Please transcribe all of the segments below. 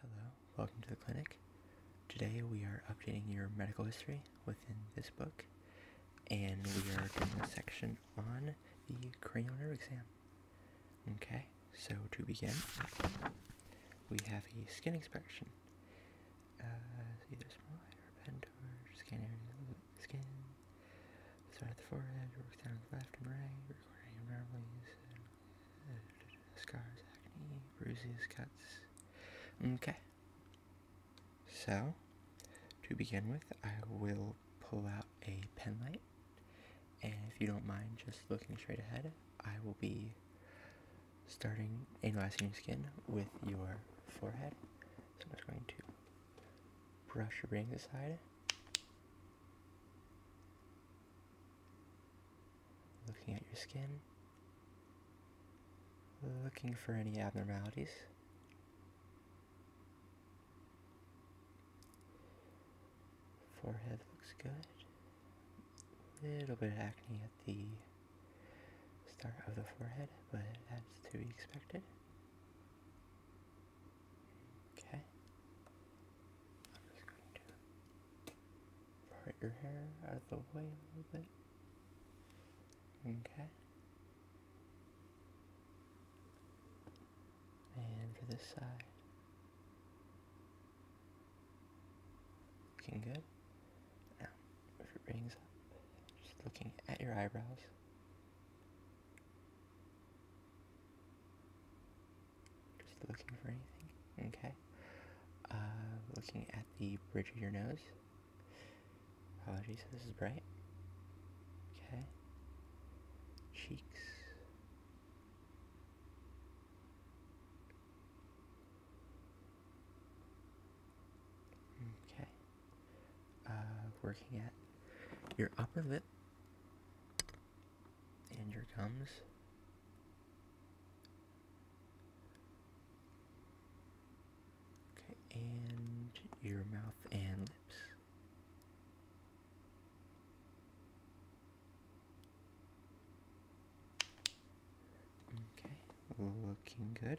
Hello, welcome to the clinic. Today we are updating your medical history within this book, and we are doing a section on the cranial nerve exam. Okay, so to begin, we have a skin inspection. Uh, start at the forehead, works down left and right, recording abnormalities, scars, acne, bruises, cuts. Okay. So, to begin with, I will pull out a pen light, and if you don't mind just looking straight ahead, I will be starting analyzing skin with your forehead. So I'm just going to brush your rings aside. Looking at your skin. Looking for any abnormalities. Forehead looks good. Little bit of acne at the start of the forehead, but that's to be expected. Okay. I'm just going to part your hair out of the way a little bit. Okay. And for this side. Looking good. Now, if your rings up, just looking at your eyebrows. Just looking for anything. Okay. Uh, looking at the bridge of your nose. Apologies, this is bright. Okay. Cheeks. Okay. Uh, working at your upper lip and your gums. Okay, and your mouth and lips. Okay, looking good.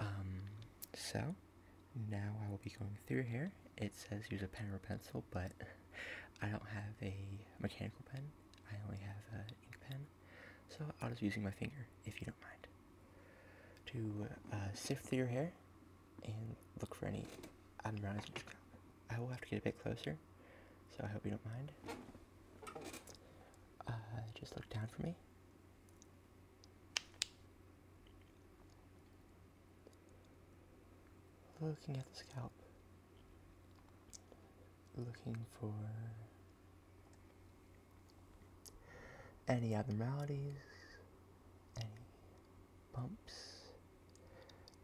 Um, so now I will be going through here. It says use a pen or a pencil, but I don't have a mechanical pen. I only have an ink pen, so I'll just be using my finger, if you don't mind, to uh, sift through your hair and look for any unrising I will have to get a bit closer, so I hope you don't mind. Uh, just look down for me. Looking at the scalp. Looking for any abnormalities, any bumps,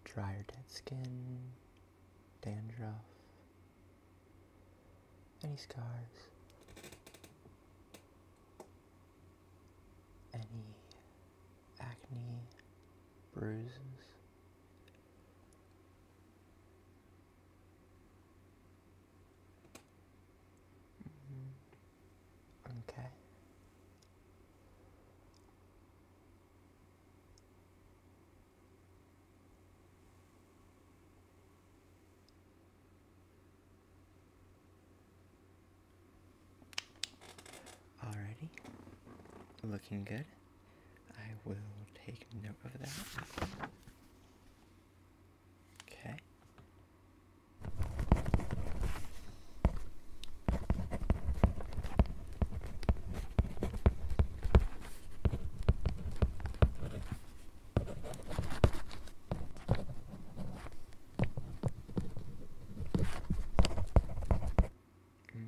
dry or dead skin, dandruff, any scars? Any acne bruises? Mm-hmm. Okay. Alrighty, looking good. I will take note of that. Okay.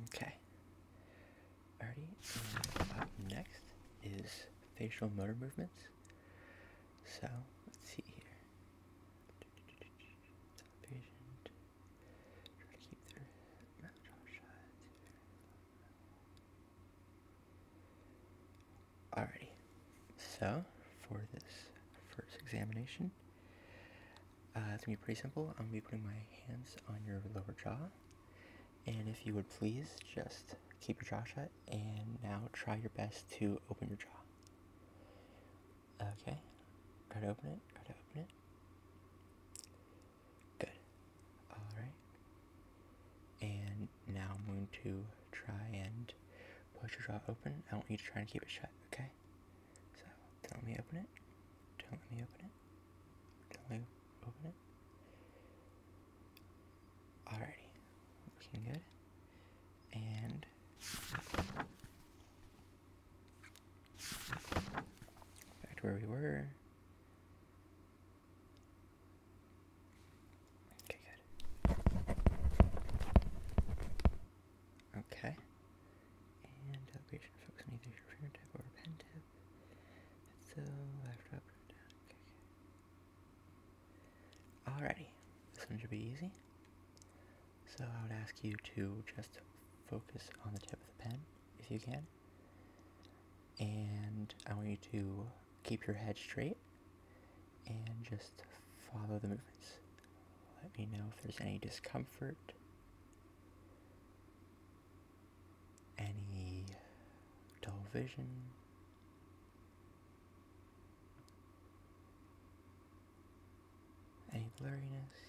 Okay. Alrighty, and next is facial motor movements. So let's see here. Alrighty, so for this first examination, uh, it's gonna be pretty simple. I'm gonna be putting my hands on your lower jaw, and if you would please just keep your jaw shut and now try your best to open your jaw. Okay, try to open it, try to open it. Good. Alright. And now I'm going to try and push your jaw open. I want you to try and keep it shut, okay? So, don't let me open it. Don't let me open it. Don't let me open it. All righty. Looking good. And. Back to where we were. Okay, Okay. And uh, elevation focus on either your rear or pen tip. so uh, left, up, down. Okay, Alrighty. This one should be easy. So I would ask you to just focus on the tip of the pen if you can. And I want you to keep your head straight and just follow the movements. Let me know if there's any discomfort, any dull vision. Any blurriness,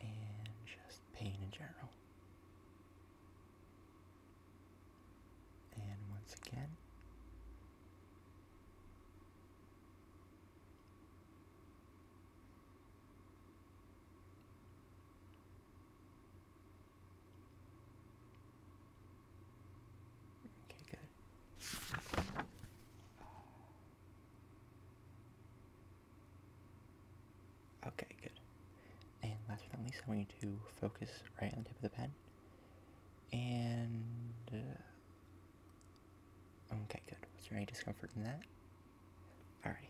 and just pain in general. And once again, Okay, good. Okay, good. And last but not least, I want you to focus right on the tip of the pen. And... Uh, okay, good. Was there any discomfort in that? Alright.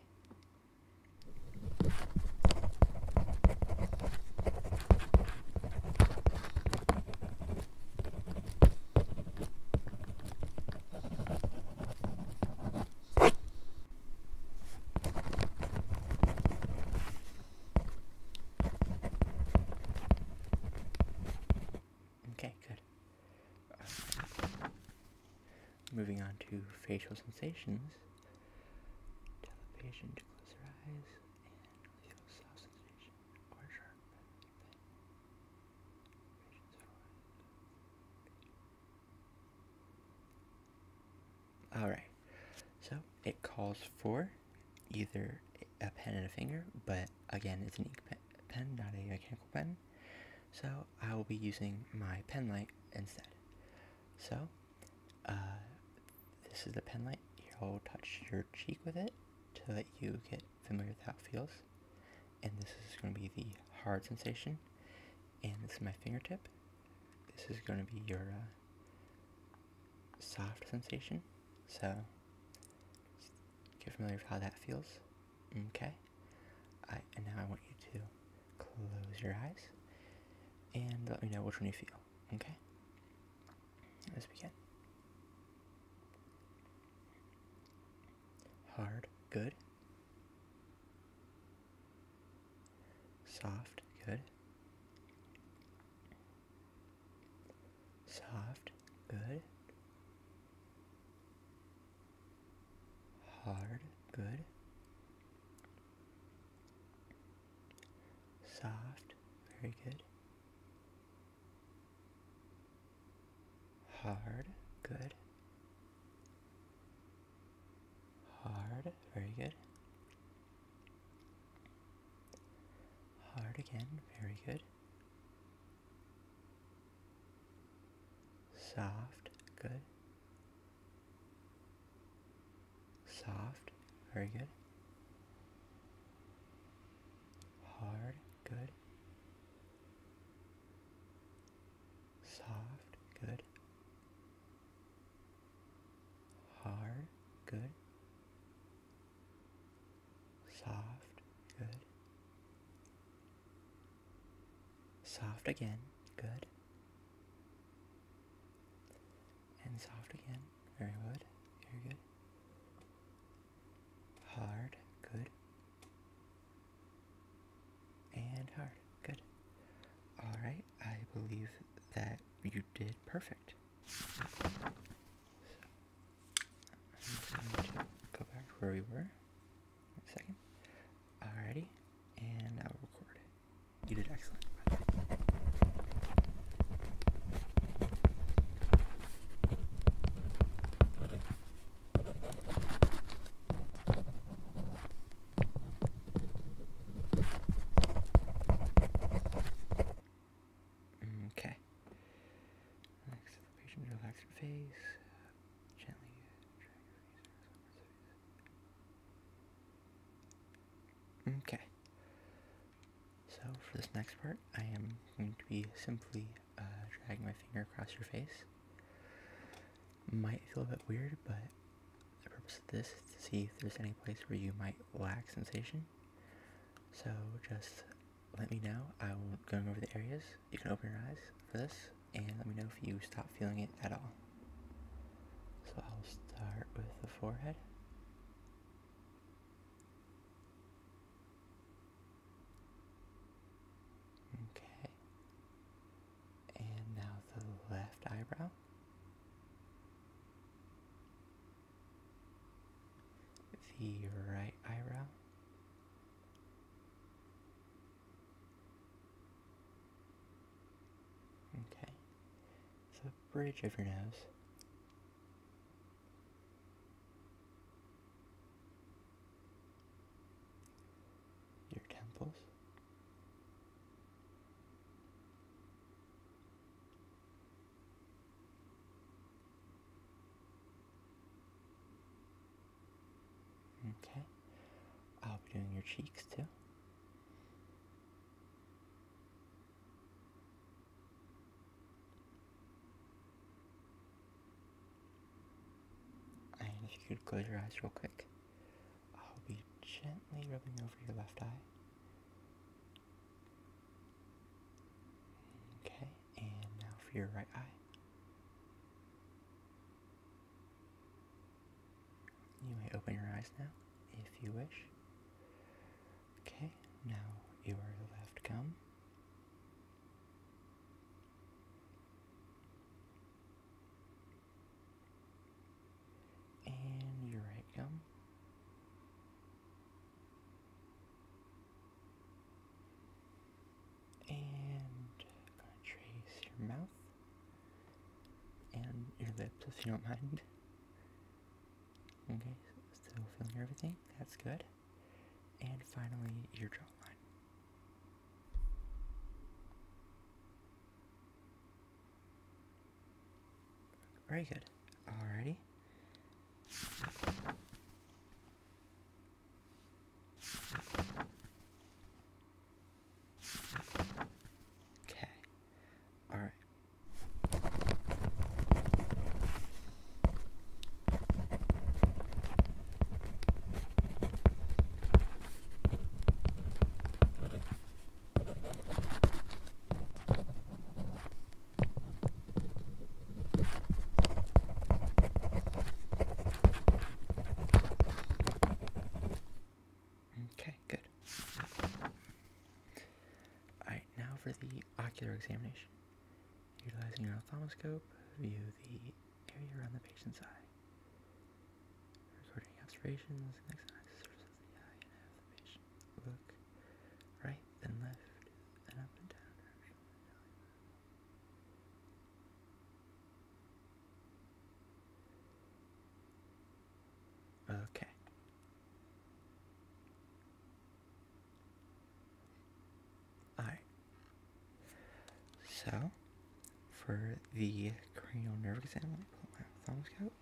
Okay, good. Moving on to facial sensations. Tell the patient to close their eyes and feel soft sensation or sharp all right, so it calls for either a pen and a finger, but again, it's an ink pen, not a mechanical pen. So I will be using my pen light instead. So uh, this is the pen light. You'll touch your cheek with it to let you get familiar with how it feels. And this is going to be the hard sensation. And this is my fingertip. This is going to be your uh, soft sensation. So get familiar with how that feels. Okay. I, and now I want you to close your eyes and let me know which one you feel. Okay? Let's begin. Hard. Good. Soft, good. Soft, good. Hard, good. Soft, very good. Hard. Good. Hard. Very good. Hard again. Very good. Soft. Good. Soft. Very good. Hard. Good. Soft, good. Hard, good. Soft, good. Soft again, good. And soft again, very good, very good hard, good, and hard, good. All right, I believe that you did perfect. So, go back where we were. A Alrighty, and now record. You did excellent. Okay. Relax the patient, relax face. Okay. So for this next part, I am going to be simply uh, dragging my finger across your face. Might feel a bit weird, but the purpose of this is to see if there's any place where you might lack sensation. So just let me know. i will go over the areas. You can open your eyes for this and let me know if you stop feeling it at all. So I'll start with the forehead. Okay. And now the left eyebrow. The right eyebrow. Okay. The bridge of your nose your temples. Okay, I'll be doing your cheeks too. And if you could close your eyes real quick, I'll be gently rubbing over your left eye. Okay, and now for your right eye. You may open your eyes now if you wish. Okay, now you your left gum and your right rectum. And I'm trace your mouth and your lips if you don't mind. Okay, still feeling everything. That's good and finally your jawline. Very good. Alrighty. Okay. All right. Okay, good. All right, now for the ocular examination. Utilizing your ophthalmoscope, view the area around the patient's eye. Recording observations, next eye the surface of the eye, and have the patient look right, then left, then up and down. Okay. Alright. So, for the cranial nerve exam, let me my thumbs out.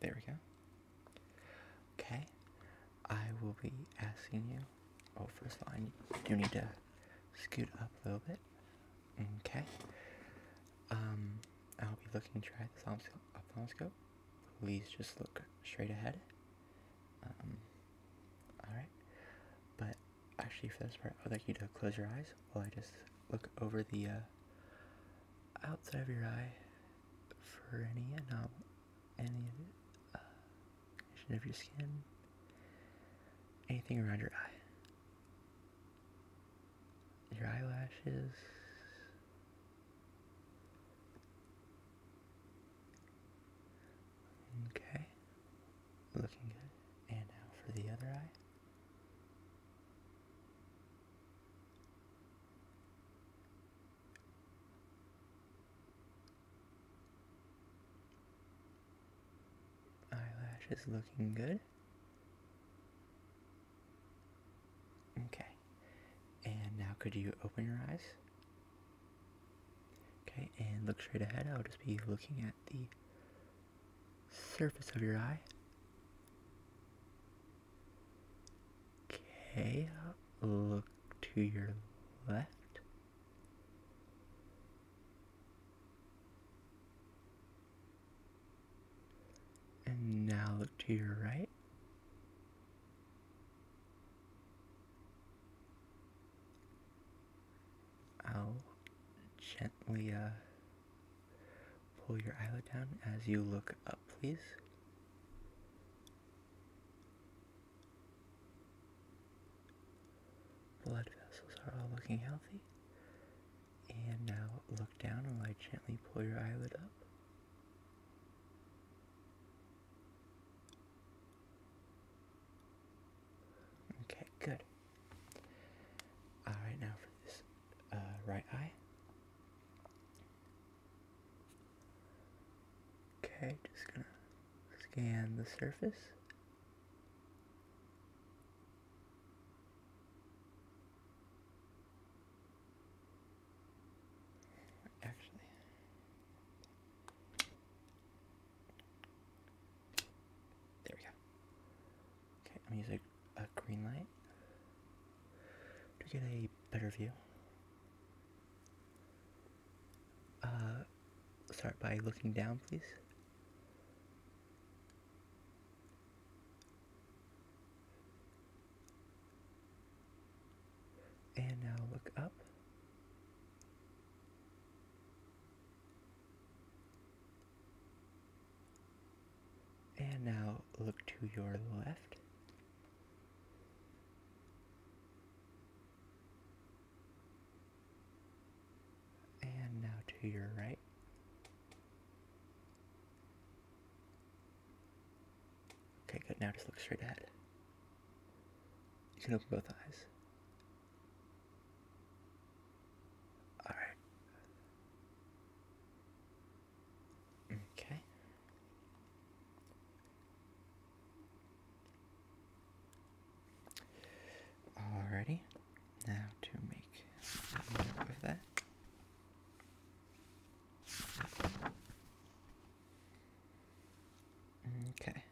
There we go. Okay. I will be asking you. Oh, first of all, I do need to scoot up a little bit. Okay. Um, I'll be looking to try the ophthalmoscope. Please just look straight ahead. Um, alright. But actually, for this part, I'd like you to close your eyes while I just look over the uh, outside of your eye for any anom- any condition uh, of your skin, anything around your eye your eyelashes. Okay, looking good. And now for the other eye. Eyelashes looking good. Okay. And now could you open your eyes? Okay, and look straight ahead. I'll just be looking at the surface of your eye. Okay, look to your left. And now look to your right. I'll gently uh, pull your eyelid down as you look up, please. Blood vessels are all looking healthy. And now look down while I gently pull your eyelid up. Okay, good. Alright, now for this uh, right eye. Okay, just gonna scan the surface. Actually. There we go. Okay, I'm using a green light to get a better view. Uh, start by looking down, please. And now look up. And now look to your left and now to your right. Okay, good. Now just look straight ahead. You can open both eyes. Alright. Okay. Alrighty. Now to make a note that. Okay.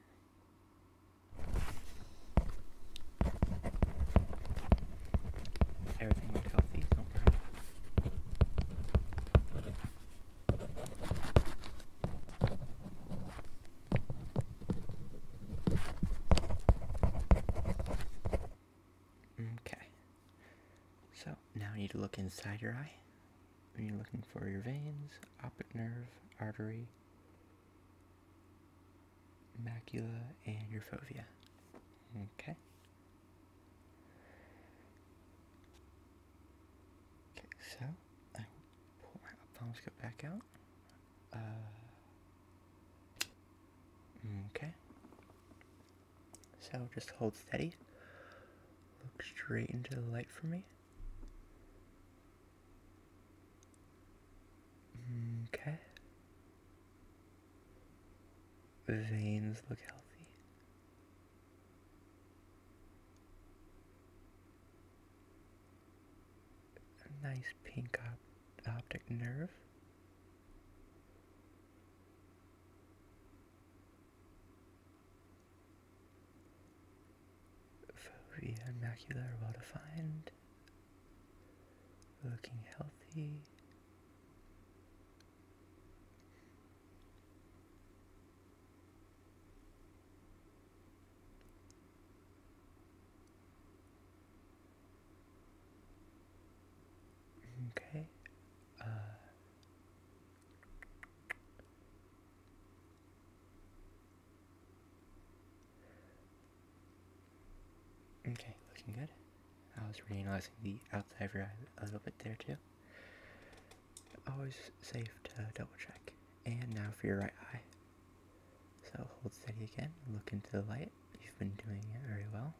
Everything healthy, Okay. So now you need to look inside your eye. You're looking for your veins, optic nerve, artery, macula, and your fovea. Okay. Okay, so I will pull my ophthalmoscope back out. Uh, okay. So just hold steady. Look straight into the light for me. Okay. The Veins look healthy nice pink optic nerve. Fovea and macula are well defined, looking healthy. Okay. Uh, okay, looking good. I was reanalyzing the outside of your eye a little bit there too. Always safe to double check. And now for your right eye. So hold steady again, look into the light. You've been doing it very well.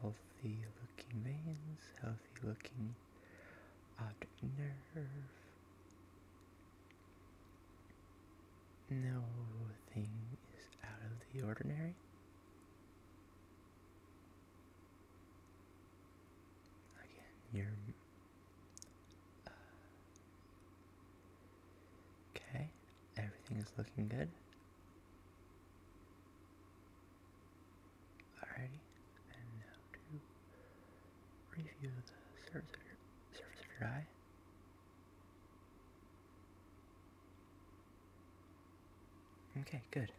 Healthy looking veins, healthy looking optic nerve. No thing is out of the ordinary. Again, your Okay, everything is looking good. Alrighty, and now to review the surface of your surface of your eye. Okay, good.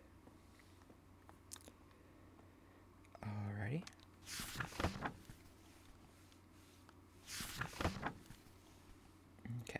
Alrighty. Okay.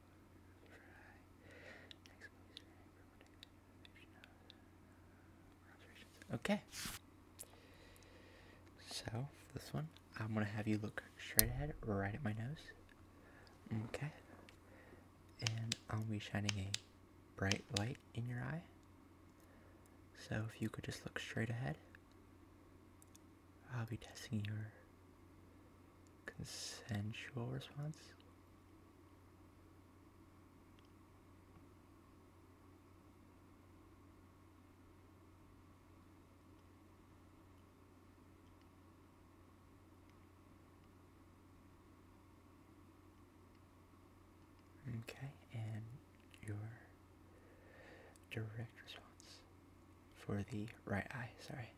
Okay. So, this one, I'm going to have you look straight ahead, right at my nose. Okay. And I'll be shining a bright light in your eye. So, if you could just look straight ahead. I'll be testing your consensual response. Okay, and your direct response for the right eye, sorry.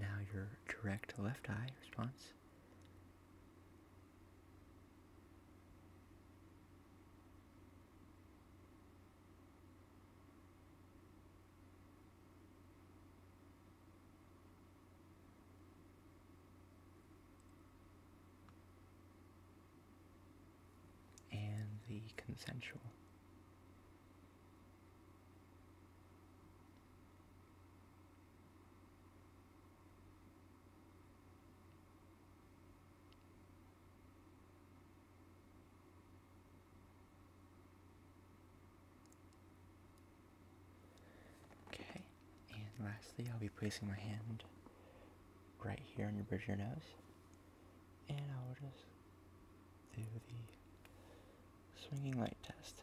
now your direct left eye response. And the consensual. Okay, and lastly, I'll be placing my hand right here on your bridge of your nose, and I'll just do the swinging light test.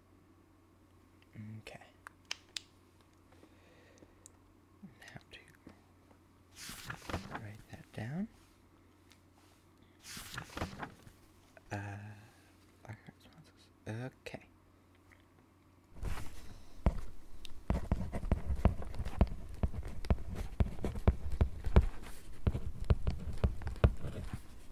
Okay. Now to write that down. Uh, okay.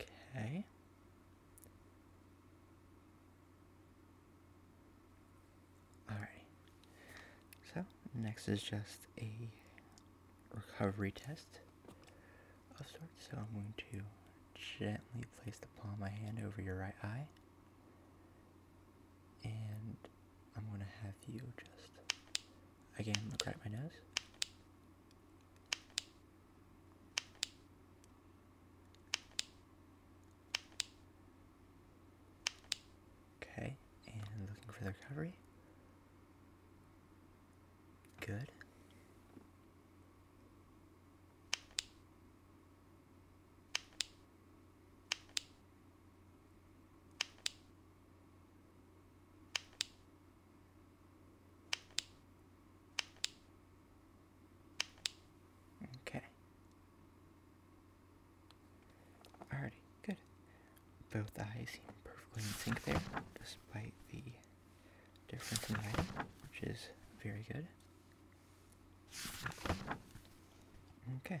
Okay. Alrighty. So, next is just a recovery test of sorts. So, I'm going to gently place the palm of my hand over your right eye. And I'm going to have you just Again, look right at my nose. Okay, and looking for the recovery. Good. Okay. Alrighty, good. Both eyes seem perfectly in sync there, despite the difference in height, which is very good. Okay.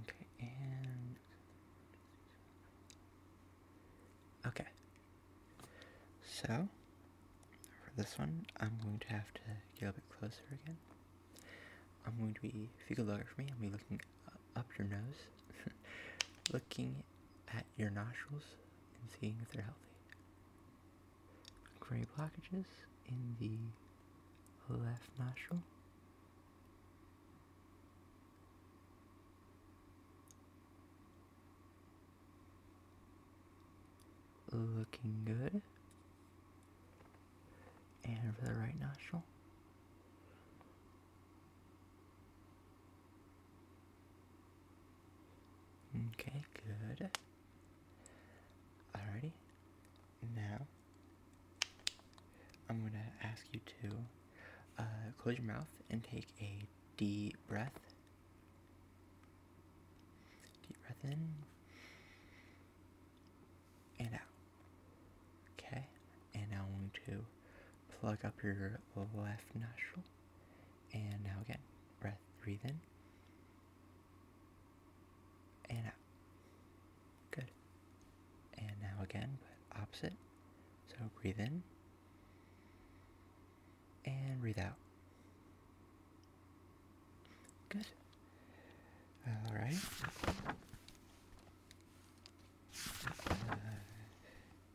Okay, and okay. So for this one, I'm going to have to get a bit closer again. I'm going to be, if you could look for me, I'll be looking up your nose, looking at your nostrils, and seeing if they're healthy gray blockages in the left nostril. Looking good. And for the right nostril. Okay, good. Alrighty. Now, I'm going to ask you to uh, close your mouth and take a deep breath. Deep breath in and out. Okay, and now I'm going to plug up your left nostril and now again, breath, breathe in. And out. Good. And now again, but opposite. So breathe in. And breathe out. Good. All right. Uh,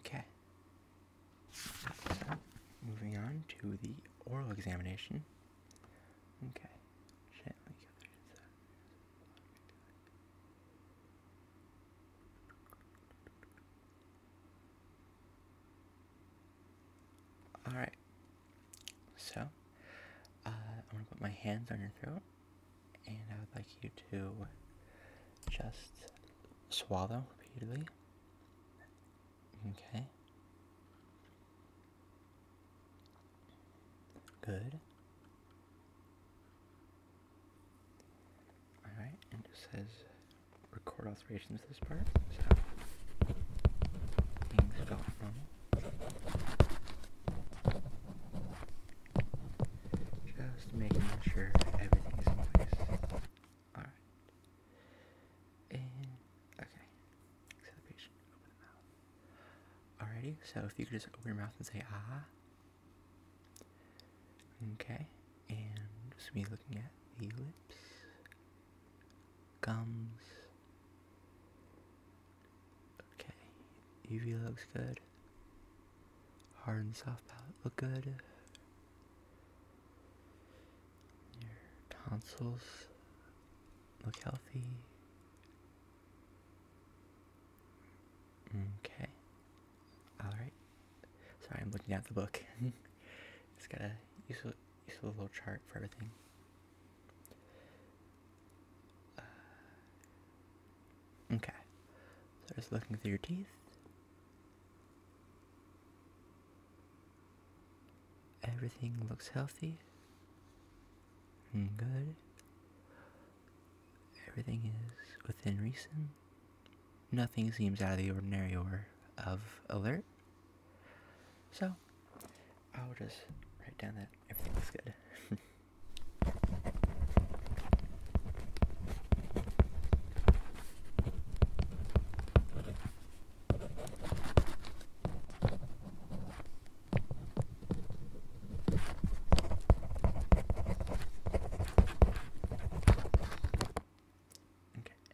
Okay. moving on to the oral examination. Okay. Alright, so, uh, I'm gonna put my hands on your throat, and I would like you to just swallow repeatedly. Okay. Good. Alright, and it says record alterations this part, so Just making sure everything is in place. Alright. And okay. Exhalation. Open mouth. Alrighty, so if you could just open your mouth and say ah. Okay. And just be looking at the lips gums. Okay, UV looks good. Hard and soft palate look good. Your tonsils look healthy. Okay. Alright. Sorry, I'm looking at the book. it's got a useful you see little chart for everything. Uh, okay, so just looking through your teeth. Everything looks healthy and good. Everything is within reason. Nothing seems out of the ordinary or of alert. So I'll just write down that everything looks good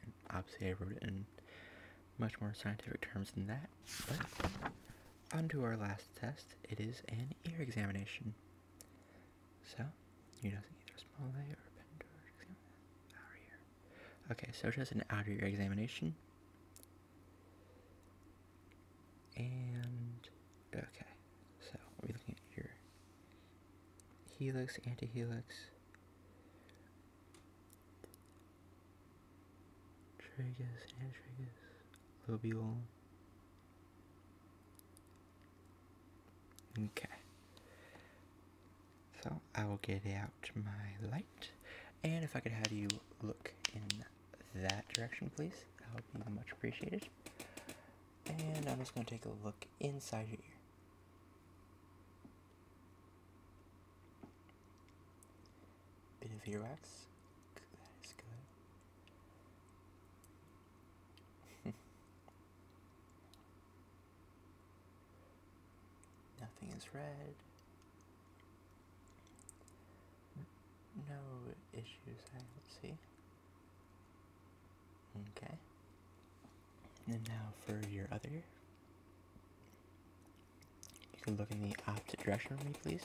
and obviously I wrote it in much more scientific terms than that. But onto our last test. It is an ear examination. So you know either a small a or a pendoor outer ear. Okay, so just an outer ear examination. And okay, so we're looking at your helix, antihelix, triggers, and triggers, lobial. Okay. So I will get out my light, and if I could have you look in that direction, please, that would be much appreciated. And I'm just going to take a look inside your ear. Bit of earwax. That is good. Nothing is red. No issues I see. Okay. And now for your other You can look in the opposite direction for me, please.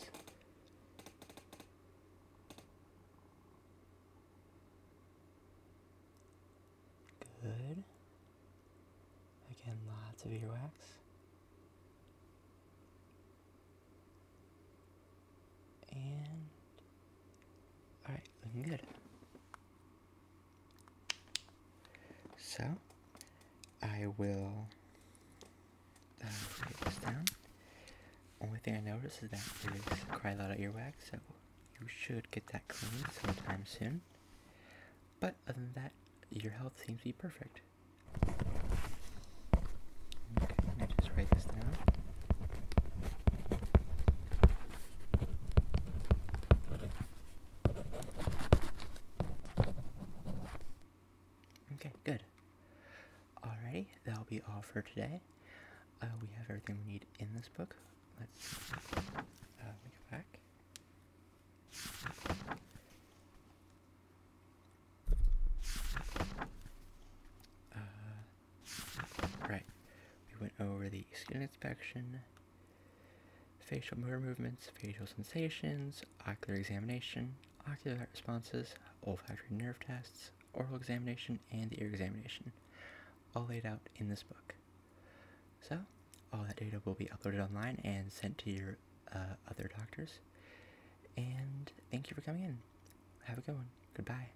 Good. Again, lots of earwax. And, alright, looking good. So I will um, write this down. Only thing I noticed is that is cry of earwax, so you should get that cleaned sometime soon. But other than that, your health seems to be perfect. Okay, let just write this down. Okay, good. Alrighty, that'll be all for today. Uh, we have everything we need in this book. Let's uh, back. Uh, right, we went over the skin inspection, facial motor movements, facial sensations, ocular examination, ocular responses, olfactory nerve tests, oral examination, and the ear examination, all laid out in this book. So, all that data will be uploaded online and sent to your uh, other doctors. And thank you for coming in. Have a good one. Goodbye.